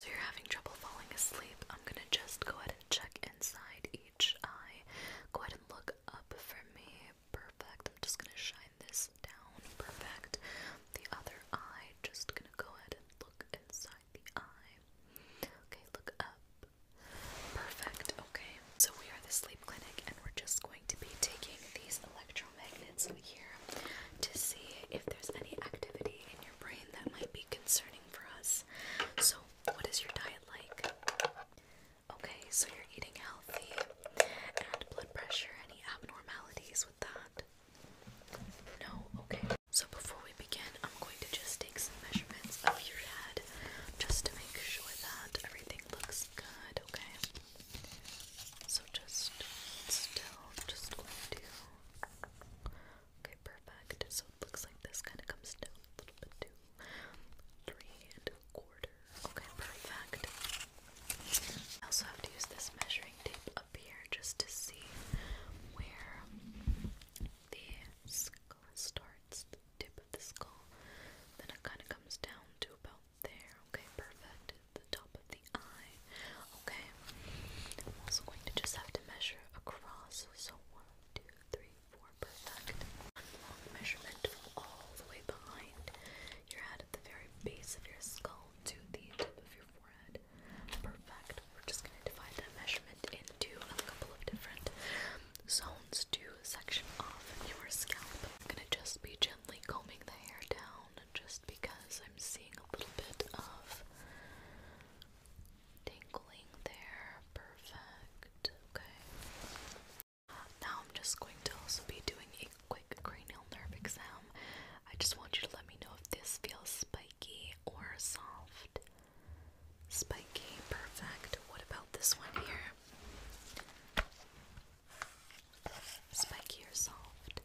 So you're having trouble falling asleep. I'm gonna just go ahead and check inside each eye. Go ahead and look up for me. Perfect. I'm just gonna shine this down. Perfect. The other eye, just gonna go ahead and look inside the eye. Okay, look up. Perfect. Okay. So we are the sleep clinic and we're just going to be taking these electromagnets here to see if there's any activity brain that might be concerning for us. So, what is your diet like? Okay, so you're eating healthy and blood pressure, any abnormalities with that? No? Okay. So, before we begin, I'm going to just take some measurements of your head just to make sure that everything looks good, okay? So, just still, just going to Okay, perfect. So looks like this kind of comes down a little bit too. Three and a quarter. Okay, perfect. I also have to use this measuring tape up here just to see where the skull starts, the tip of the skull. Then it kind of comes down to about there. Okay, perfect the top of the eye. Okay. I'm also going to just have to measure across. So one, two, three, four, perfect. One long measurement all the way behind your head at the very base of your skull to the tip of your forehead. Perfect. We're just gonna divide that measurement into a couple of different zones to section off your scalp. I'm gonna just be gently combing the hair down just because I'm seeing a little bit of tingling there. Perfect. Okay. Now I'm just going to also be doing a quick cranial nerve exam. I just want you to let me know if this feels spiky or soft. Spiky, perfect. What about this one here? Spiky or soft?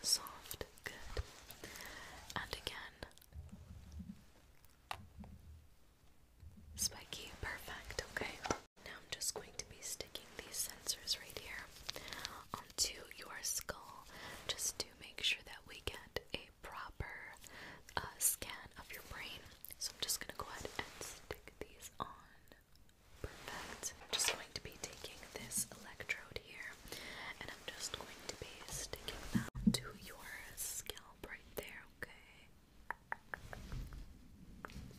Soft, good. And again. Spiky, perfect, okay. Now I'm just going to be sticking these sensors right here onto your skull just to make sure that we get a proper uh, scan of your brain. So I'm just gonna go ahead and stick these on. Perfect. I'm just going to be taking this electrode here and I'm just going to be sticking that to your scalp right there, okay?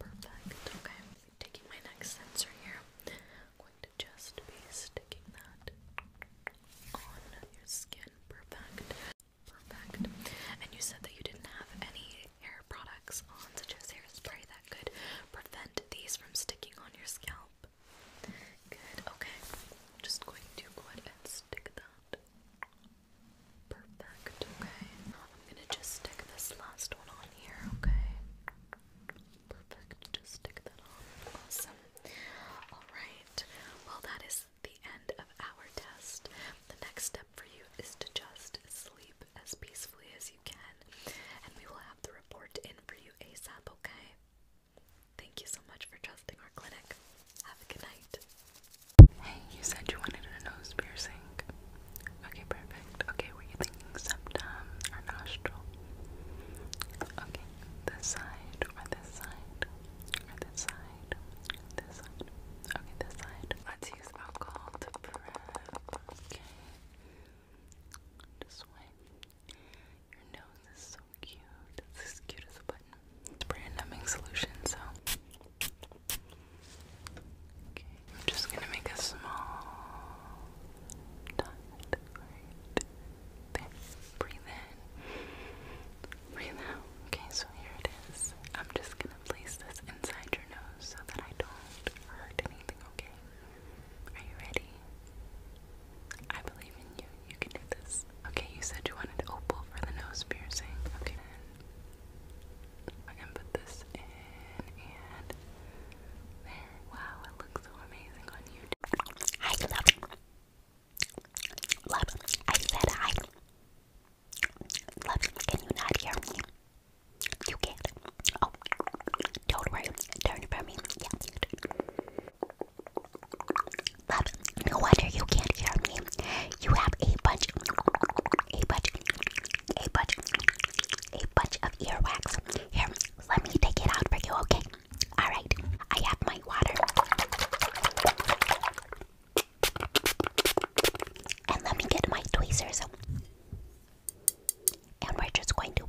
Perfect. Okay. Taking my next sensor here. I'm going to just be sticking that on your skin. Perfect. Perfect. And you said that you didn't have any hair products on, such as hairspray, that could prevent these from sticking on your scalp. Good, okay. I'm just going to go ahead and stick that. Perfect, okay. I'm gonna just stick this last one on here, okay? Perfect, just stick that on. Awesome. Alright, well, that is the end of our test. The next step for you is to just sleep as peacefully as you can, and we will have the report in for you ASAP, okay? Thank you so much for trusting our clinic. Have a good night. Hey, you said you wanted a nose piercing. Okay, perfect. Okay, were you thinking septum or nostril? Okay, this side or this side? this side? This side? Okay, this side. Let's use alcohol to prep. Okay. This way. Your nose is so cute. It's as cute as a button. It's numbing solution, so. Okay, I'm just gonna make a small dot right there. Breathe in. Okay, so here it is. I'm just gonna place this inside your nose so that I don't hurt anything, okay? Are you ready? I believe in you. You can do this. Okay, you said you wanted opal for the nose piercing. Okay, then I can put this in and there. Wow, it looks so amazing on you. I love, love. I said I Love, can you not hear me? You can't. Oh, don't worry. Turn for me. Yeah. Love, no wonder you can't hear me. You have a bunch, a bunch, a bunch, a bunch of earwax. Here, let me take it out for you, okay? Alright, I have my water. And let me get my tweezers. And we're just going to.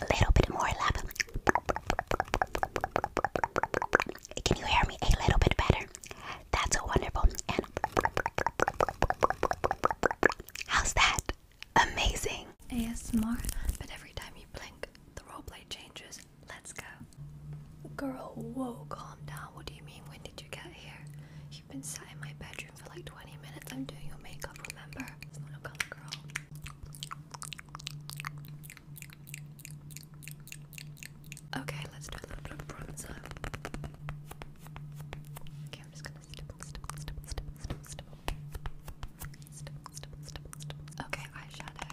A little bit more Can you hear me a little bit better? That's wonderful. And how's that? Amazing. ASMR, but every time you blink, the roleplay changes. Let's go. Girl, whoa, calm down. What do you mean? When did you get here? You've been sitting in my bedroom for like 20 minutes. I'm doing your makeup, remember? It's not girl. Okay, let's do a little bronzer. Okay, I'm just gonna stipple, stipple, stipple, stipple, stipple, stipple. Stipple, stipple, stipple, stipple. Okay, eyeshadow.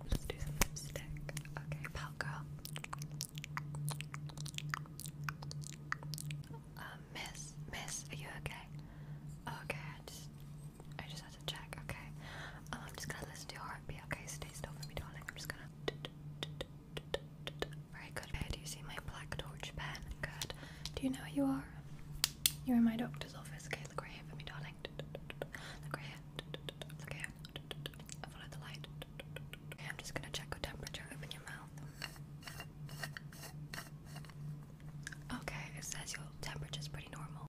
Let's do some lipstick. Okay, Pout Girl. Um, miss, miss, are you okay? Okay, I just I just had to check. Okay. Um, I'm just gonna listen to your b Okay, stay still for me, darling. I'm just gonna. Very good. Okay, do you see my black torch pen? Good. Do you know who you are? You're in my doctor's office. Okay, the right here for me, darling. Look right here. Look here. I follow the light. Okay, I'm just gonna check your temperature. Open your mouth. Okay, it says your temperature's pretty normal.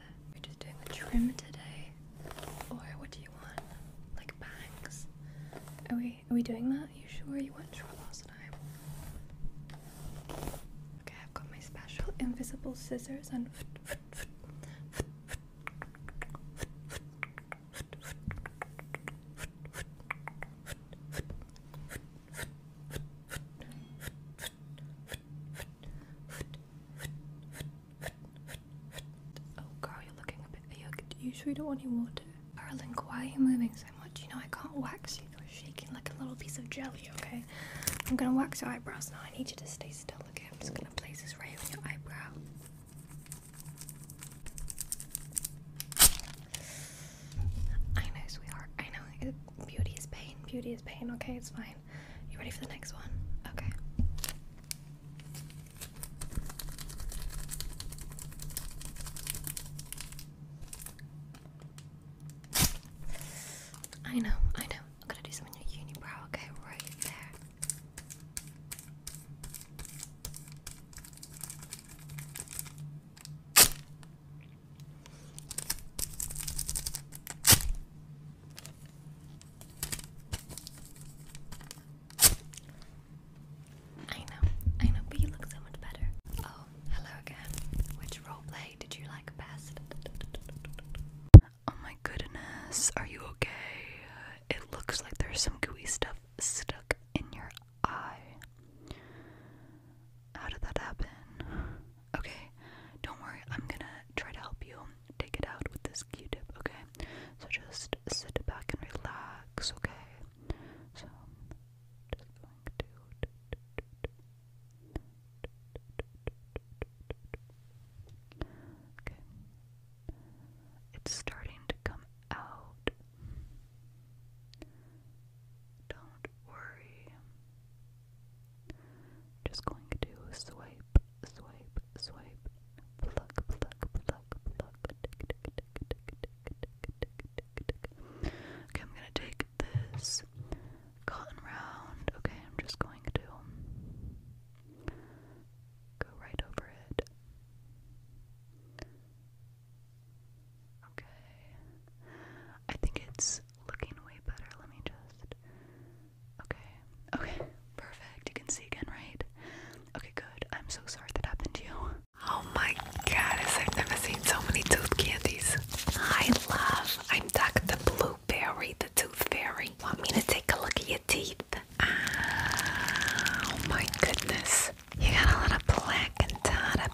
with We're just doing the trim today. Boy, what do you want? Like bangs? Are we are we doing that? Are you sure you weren't sure last time? Okay, I've got my special invisible scissors and Oh girl, you're looking a bit. You, sure you don't want any water? Darling, why are you moving so much? You know I can't wax you. You're shaking like a little piece of jelly, okay? I'm gonna wax your eyebrows now. I need you to stay still, okay? I'm just gonna place this right on your eyebrow. I know, sweetheart. I know. Beauty is pain. Beauty is pain. Okay, it's fine. You ready for the next one? Okay. I know, I know. I'm gonna do some on your unibrow, okay? Right there. I know, I know, but you look so much better. Oh, hello again. Which roleplay did you like best? Oh my goodness, are you okay? It looks like there's some gooey stuff stuck in your eye. How did that happen? Okay, don't worry, I'm gonna try to help you take it out with this q tip, okay? So just sit back and relax, okay? So, just going to. Okay. It's starting to come out. Don't worry. Just going to swipe, swipe, swipe, pluck, pluck, pluck, pluck. Okay, I'm gonna take this cotton round. Okay, I'm just going to go right over it. Okay. I think it's looking way better. Let me just. Okay. Okay. Perfect. You can see again, right? Okay, good. I'm so sorry that happened to you. Oh my goodness! I've never seen so many tooth candies. I love. I'm Dr. Blueberry, the tooth fairy. Want me to take a look at your teeth? Ah, oh my goodness. You got a lot of plaque and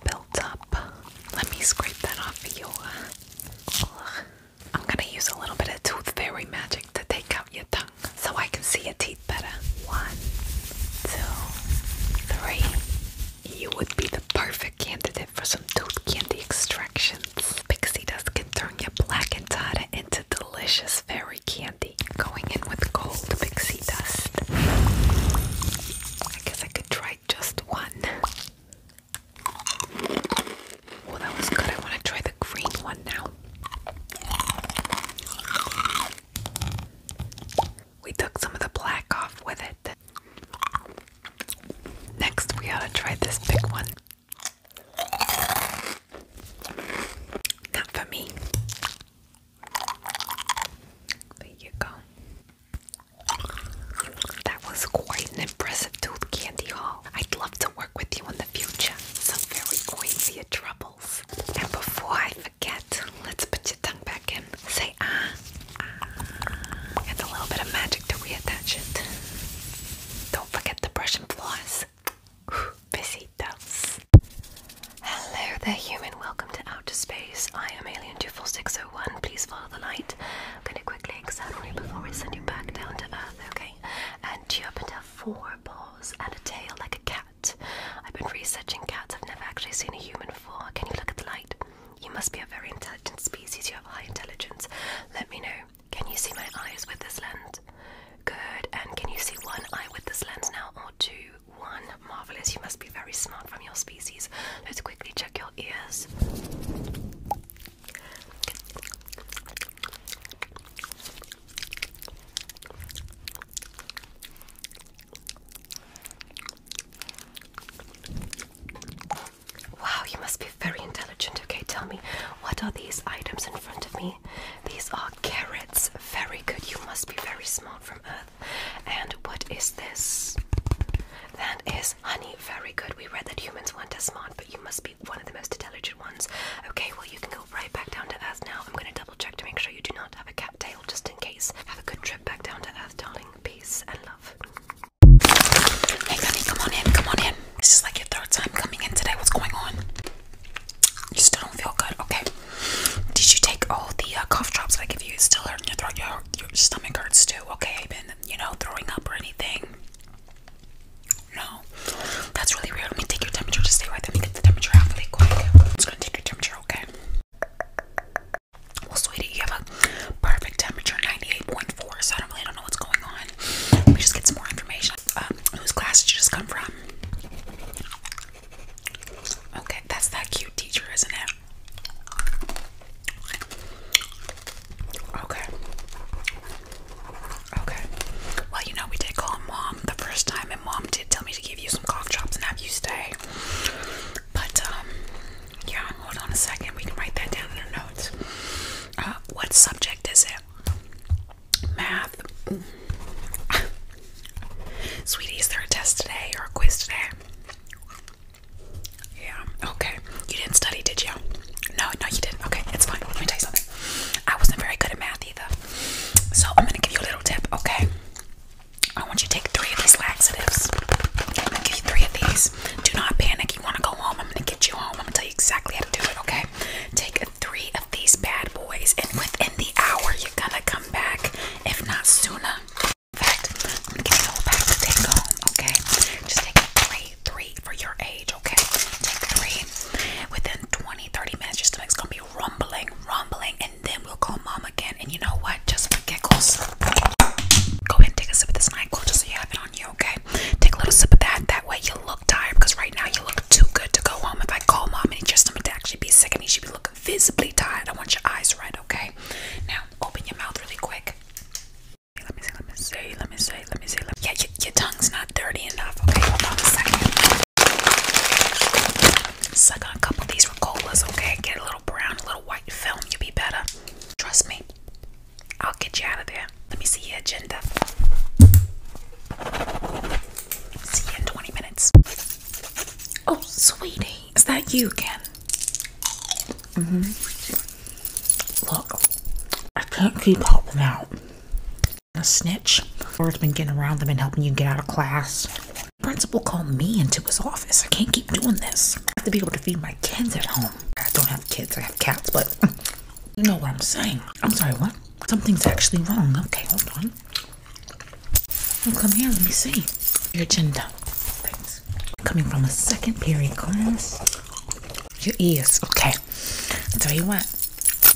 built up. Let me scrape that off for you. I'm gonna use a little bit of tooth fairy magic to take out your tongue so I can see your teeth better. One, two, three. You would be the perfect candidate for some tooth candy extractions. Pixie Dust can turn your black and data into delicious fairy candy. Going in with gold pixie I guess I could try just one. Oh, that was good. I want to try the green one now. We took some of the black off with it. Next, we ought to try this big one. Not for me. There you go. That was quite an impressive tooth candy haul. I'd love to work with you in the future. Some very quaint troubles. And before I forget, let's put your tongue back in. Say ah, ah. And a little bit of magic to reattach it. Don't forget to brush and floss. Besitos. Hello there, human. Welcome to Outer Space. I am Alien24601. Please follow the light. I'm going to quickly examine you before we send you back down to Earth, okay? And you happen to have four paws and a tail like a cat. I've been researching cats. I've never actually seen a human four. Can you look at the light? You must be a very intelligent species. You have high intelligence. Let me know. Can you see my eyes with this lens? Good. And can you see one eye with this lens now or two? one. Marvelous, you must be very smart from your species. Let's quickly check your ears. Wow, you must be very intelligent. Okay, tell me, what are these items in front of me? These are carrots. Very good. You must be very smart from Earth. And what is this? That is honey. Very good. We read that humans weren't as smart, but you must be one of the most intelligent ones. Okay, well, you can go right back down to Earth now. I'm going to double check to make sure you do not have a cat tail just in case. Have a good trip back down to Earth, darling. Peace and love. Hey, honey, come on in. Come on in. This is like your third time coming in today. What's going on? You don't feel good, okay? Did you take all the uh, cough drops that I give you? It's still hurting your throat. Your, stomach hurts too, okay? I've been, you know, throwing up or anything. No, that's really weird. Let me take your temperature. Just stay right there. Let me get the temperature really quick. I'm just gonna take your temperature, okay? Well, sweetie, you have a perfect temperature, 98.4. So I don't really don't know what's going on. Let me just get some more information. Um, whose class did you just come from? Okay, that's that cute teacher, isn't it? Okay. Okay. Well, you know, we did call mom the first time, and mom did tell me to give you some cock and have you stay. But, um, yeah, hold on a second. We can write that down in our notes. Uh, what subject is it? math. Sweetie, is there a test today or a quiz today? Yeah, okay. You didn't study, did you? No, no, you didn't. Okay, it's fine. Let me tell you something. I wasn't very good at math either. So I'm gonna give you a little tip, okay? I want you to take three of these laxatives. I'm gonna give you three of these. Do not panic. You wanna go home. I'm gonna get you home. I'm gonna tell you exactly how to do it, okay? Take three of these bad boys, and within the hour, you're gonna come back, if not sooner. In fact, I'm gonna go back to take home, okay? Just take three, three for your age, okay? Take three. Within 20, 30 minutes, your stomach's gonna be rumbling, rumbling, and then we'll call mom again. And you know what? Just for giggles, go ahead and take a sip of this NyQuil just so you have it on you, okay? Take a little sip of that. That way, you you look tired because right now you look too good to go home. If I call mom and just someone to actually be sick of me, she'd be looking visibly tired. I want your eyes red, okay? Now open your mouth really quick. Let me see, let me see, let me see, let me see. Let me... Yeah, your, tongue's not dirty enough, okay? Hold on a second. Suck on a couple of these colas, okay? Get a little brown, a little white film, you'll be better. Trust me, I'll get you out of there. Let me see your agenda. See you in 20 minutes. Oh, sweetie, is that you again? hmm. Look, I can't keep helping out. A snitch. Laura's been getting around them and helping you get out of class. The principal called me into his office. I can't keep doing this. I have to be able to feed my kids at home. I don't have kids, I have cats, but you know what I'm saying. I'm sorry, what? Something's actually wrong. Okay, hold on. Oh, come here. Let me see your agenda. Thanks. Coming from a second period class. Your ears. Okay. I'll tell you what.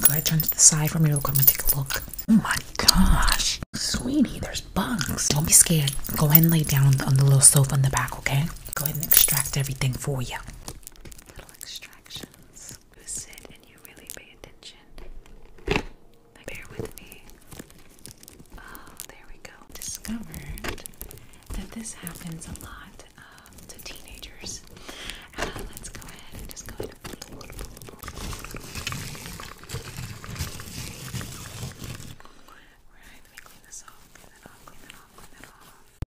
Go ahead, turn to the side for me real quick and take a look. Oh my gosh. Sweetie, there's bugs. Don't be scared. Go ahead and lay down on the little sofa in the back, okay? Go ahead and extract everything for you. Little extraction sessions sit and you really pay attention. bear with me. Oh, there we go. Discovered that this happens a lot um, to teenagers. Uh, let's go ahead and just go ahead Right, clean this off, clean that off, clean that off,